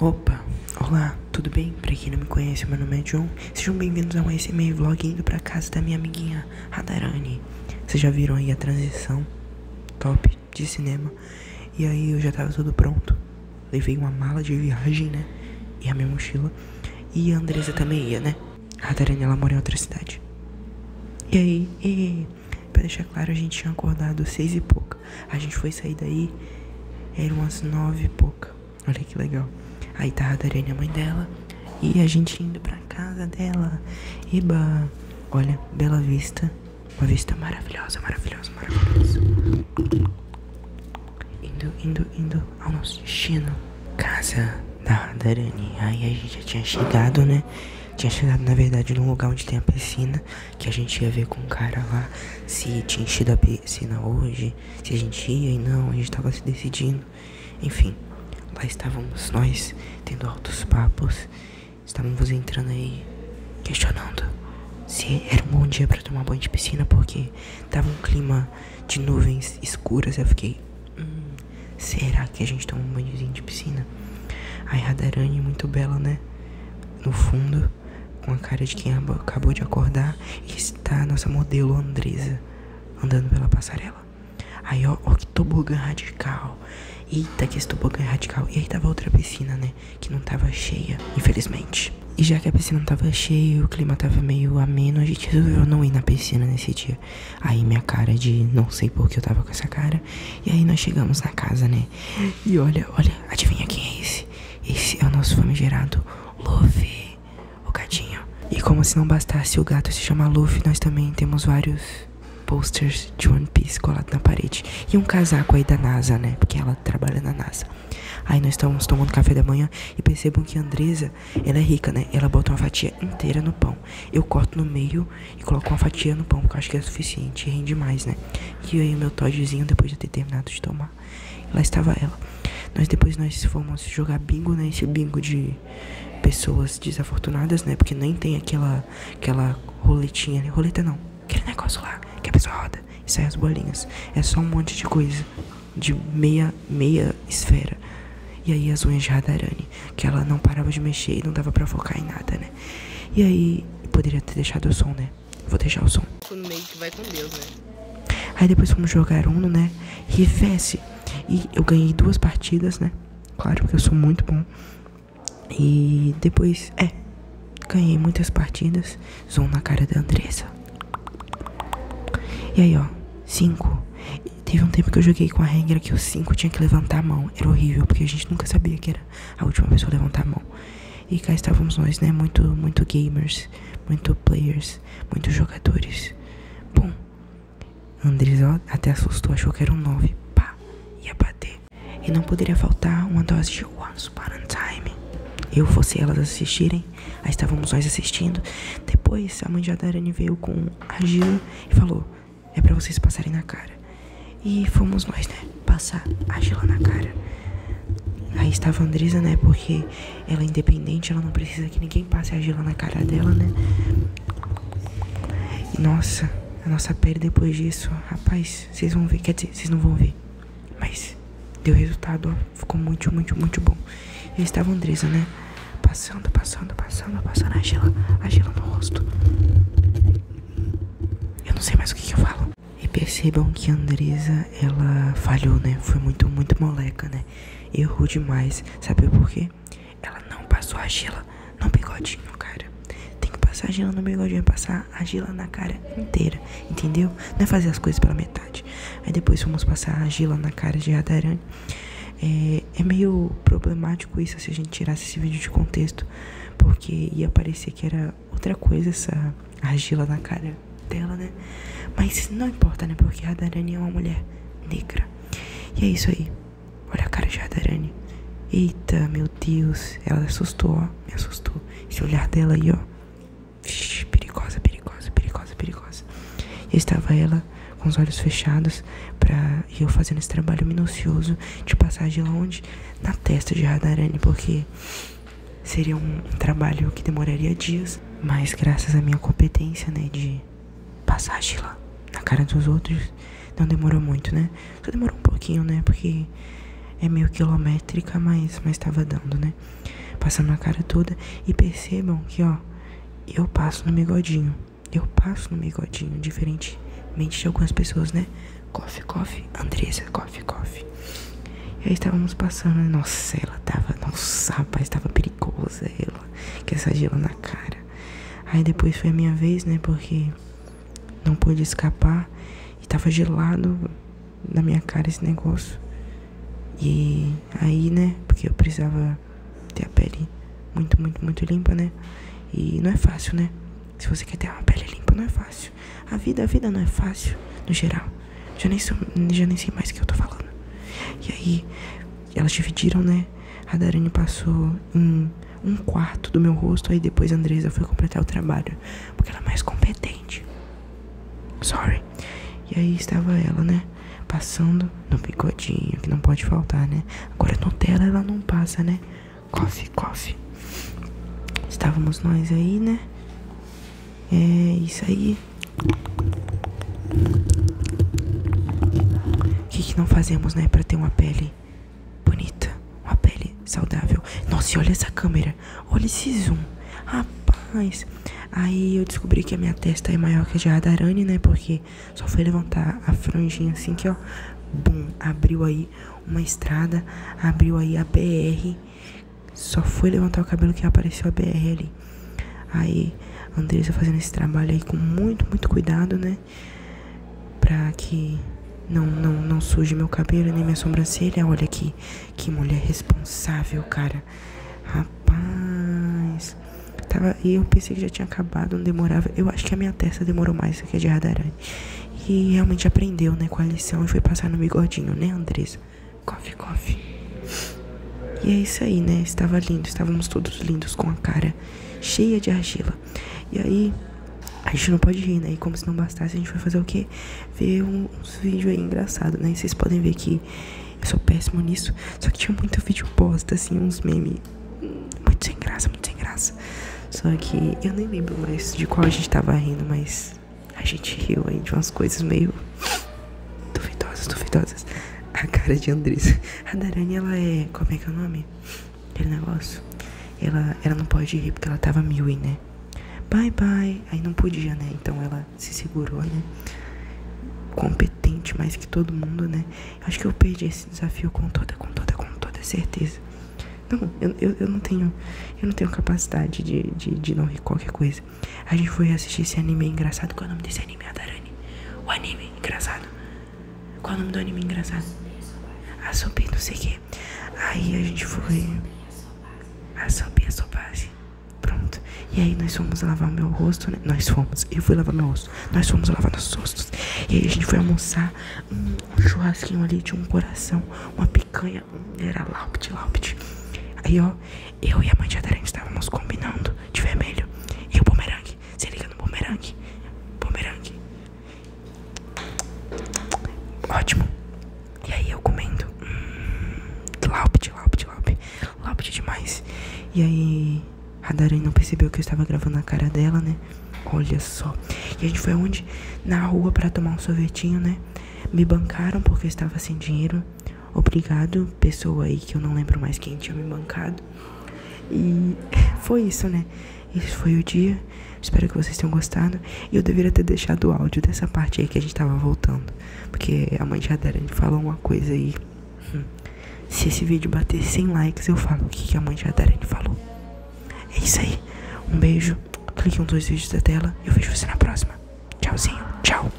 Opa, olá, tudo bem? Pra quem não me conhece, meu nome é John. Sejam bem-vindos a mais esse meio vlog indo pra casa da minha amiguinha Hadarani. Vocês já viram aí a transição top de cinema. E aí eu já tava tudo pronto. Levei uma mala de viagem, né? E a minha mochila. E a Andresa também ia, né? A Hadarani, ela mora em outra cidade. E aí, e, pra deixar claro, a gente tinha acordado seis e pouca. A gente foi sair daí, eram umas nove e pouca. Olha que legal. Aí tá a Dariane, a mãe dela, e a gente indo pra casa dela. Eba! Olha, bela vista. Uma vista maravilhosa, maravilhosa, maravilhosa. Indo, indo, indo ao nosso destino. Casa da Dariane. Aí a gente já tinha chegado, né? Tinha chegado, na verdade, num lugar onde tem a piscina, que a gente ia ver com o cara lá se tinha enchido a piscina hoje, se a gente ia e não, a gente tava se decidindo. Enfim, lá estávamos nós, tendo altos papos, estávamos entrando aí, questionando se era um bom dia para tomar banho de piscina, porque tava um clima de nuvens escuras, eu fiquei, hum, será que a gente toma um banhozinho de piscina? Ai, Radarani, muito bela, né? no fundo, com a cara de quem acabou de acordar e está a nossa modelo Andresa andando pela passarela. Aí, ó, ó que tobogã radical. Eita, que esse tobogã é radical. E aí tava outra piscina, né? Que não tava cheia, infelizmente. E já que a piscina não tava cheia, o clima tava meio ameno, a gente resolveu não ir na piscina nesse dia. Aí minha cara de não sei por que eu tava com essa cara e aí nós chegamos na casa, né? E olha, olha, adivinha quem é esse? Esse é o nosso famigerado Luffy, o gatinho. E como se não bastasse o gato se chamar Luffy, nós também temos vários posters de One Piece colados na parede. E um casaco aí da NASA, né? Porque ela trabalha na NASA. Aí nós estamos tomando café da manhã e percebam que a Andresa, ela é rica, né? Ela bota uma fatia inteira no pão. Eu corto no meio e coloco uma fatia no pão, porque eu acho que é suficiente rende mais, né? E aí meu Toddzinho, depois de ter terminado de tomar, lá estava ela. Nós depois nós fomos jogar bingo, né? Esse bingo de pessoas desafortunadas, né? Porque nem tem aquela, aquela roletinha, né? Roleta não, aquele negócio lá que a pessoa roda e sai as bolinhas. É só um monte de coisa, de meia, meia esfera. E aí as unhas de Radarani que ela não parava de mexer e não dava pra focar em nada, né? E aí, poderia ter deixado o som, né? Vou deixar o som. Né? Aí depois fomos jogar Uno, né? Rivesse. E eu ganhei duas partidas, né? Claro, porque eu sou muito bom. E depois, é, ganhei muitas partidas. Zoom na cara da Andressa. E aí, ó, 5. Teve um tempo que eu joguei com a regra que os 5 tinha que levantar a mão. Era horrível, porque a gente nunca sabia que era a última pessoa a levantar a mão. E cá estávamos nós, né? Muito, muito gamers, muito players, muitos jogadores. Bom, Andres até assustou, achou que era um 9. Pá, ia bater. E não poderia faltar uma dose de Once Upon a Time. Eu fosse elas assistirem, Aí estávamos nós assistindo. Depois a mãe de Adarani veio com a e falou: É para vocês passarem na cara. E fomos nós, né? Passar a na cara. Aí estava Andresa, né? Porque ela é independente, ela não precisa que ninguém passe a na cara dela, né? E nossa, a nossa pele depois disso, rapaz, vocês vão ver. Quer dizer, vocês não vão ver. Mas deu resultado, ó. Ficou muito, muito, muito bom. E aí estava Andresa, né? Passando, passando, passando, passando a gela, a gela no rosto. Eu não sei mais o que, eu falo. E percebam que a Andresa, ela falhou, né? Foi muito, muito moleca, né? Errou demais. Sabe por quê? Ela não passou a gela no bigodinho, cara. Tem que passar a gela no bigodinho, passar a gela na cara inteira, entendeu? Não é fazer as coisas pela metade. Aí depois fomos passar a argila na cara de Radaran. É, é, meio problemático isso se a gente tirasse esse vídeo de contexto, porque ia parecer que era outra coisa essa argila na cara dela, né? Mas não importa, né? Porque Radarani é uma mulher negra. E é isso aí. Olha a cara de Radarani. Eita, meu Deus. Ela assustou, ó. Me assustou. Esse olhar dela aí, ó. Vixe, perigosa, perigosa, perigosa, perigosa. E estava ela com os olhos fechados pra, eu fazendo esse trabalho minucioso de passagem lá onde na testa de Radarani, porque seria um, trabalho que demoraria dias, mas graças à minha competência, né, de passagem lá na cara dos outros, não demorou muito, né? Só demorou um pouquinho, né, porque é meio quilométrica, mas mas estava dando, né? Passando na cara toda. E percebam que, ó, eu passo no bigodinho. Eu passo no bigodinho, diferentemente de algumas pessoas, né? Coffee, coffee, Andressa, coffee, coffee. E aí estávamos passando, né? nossa, ela tava, nossa, rapaz, tava perigosa ela, que essa gelo na cara. Aí depois foi a minha vez, né, porque não pude escapar e tava gelado, na minha cara esse negócio. E aí, né? Porque eu precisava ter a pele muito, muito, muito limpa, né? E não é fácil, né? Se você quer ter uma pele limpa, não é fácil. A vida, a vida não é fácil, no geral. Já nem, sou, já nem sei mais o que eu tô falando. E aí, elas dividiram, né? A Darani passou em um quarto do meu rosto, aí depois a Andresa foi completar o trabalho. Porque ela é mais competente. Sorry. E aí estava ela, né? Passando no bigodinho, que não pode faltar, né? Agora Nutella ela não passa, né? Coffee, coffee. Estávamos nós aí, né? É isso aí. O que, que não fazemos, né? Pra ter uma pele bonita, uma pele saudável. Nossa, olha essa câmera, olha esse zoom, rapaz. Aí eu descobri que a minha testa é maior que a de Adarani, né? Porque só foi levantar a franjinha assim que ó, bum, abriu aí uma estrada, abriu aí a BR. Só foi levantar o cabelo que apareceu a BR ali. Aí, a fazendo esse trabalho aí com muito, muito cuidado, né? pra que não, não, não suje meu cabelo nem minha sobrancelha. Olha aqui, que mulher responsável, cara. Rapaz, tava e eu pensei que já tinha acabado, não demorava. Eu acho que a minha testa demorou mais que a de Radarani. E realmente aprendeu, né, com a lição e foi passar no bigodinho, né, Andressa? Coffee, coffee. E é isso aí, né? Estava lindo, estávamos todos lindos com a cara cheia de argila. E aí, a gente não pode rir, né? E como se não bastasse, a gente vai fazer o quê? Ver uns vídeos aí engraçados, né? E vocês podem ver que eu sou péssimo nisso. Só que tinha muito vídeo bosta, assim, uns memes. Muito sem graça, muito sem graça. Só que eu nem lembro mais de qual a gente tava rindo, mas a gente riu aí de umas coisas meio duvidosas, duvidosas. A cara de Andressa. A Darani, ela é. Como é que é o nome? aquele negócio. Ela, ela não pode rir porque ela tava Millie, né? Bye bye. Aí não podia, né? Então ela se segurou, né? Competente mais que todo mundo, né? Acho que eu perdi esse desafio com toda, com toda, com toda certeza. Não, eu, eu, não tenho. Eu não tenho capacidade de, de, não rir qualquer coisa. A gente foi assistir esse anime é engraçado. Qual é o nome desse anime, A darani, O anime engraçado. Qual o nome do anime engraçado? A Sobi, não sei o que. Aí a gente foi. A Sobi, a Sobage. Pronto. E aí nós fomos lavar o meu rosto, né? Nós fomos. Eu fui lavar meu rosto. Nós fomos lavar nossos rostos. E aí a gente foi almoçar um, um churrasquinho ali de um coração, uma picanha. Era laupit, laupit. Aí ó, eu e a mãe de Adarante estávamos combinando de vermelho. E o bumerangue. Se liga no bumerangue. Bumerangue. Ótimo. E aí eu comendo. Hum, laupt, laupt, laupt. demais. E aí a Darren não percebeu que eu estava gravando a cara dela, né? Olha só. E a gente foi onde? Na rua para tomar um sorvetinho, né? Me bancaram porque eu estava sem dinheiro. Obrigado, pessoa aí que eu não lembro mais quem tinha me bancado. E foi isso, né? Esse foi o dia. Espero que vocês tenham gostado. E eu deveria ter deixado o áudio dessa parte aí que a gente tava voltando. Porque a mãe já dera, falou uma coisa aí. Hum. Se esse vídeo bater 100 likes, eu falo o que, a mãe já dera, falou. É isso aí. Um beijo. Clique em um dos vídeos da tela. e Eu vejo você na próxima. Tchauzinho. Tchau.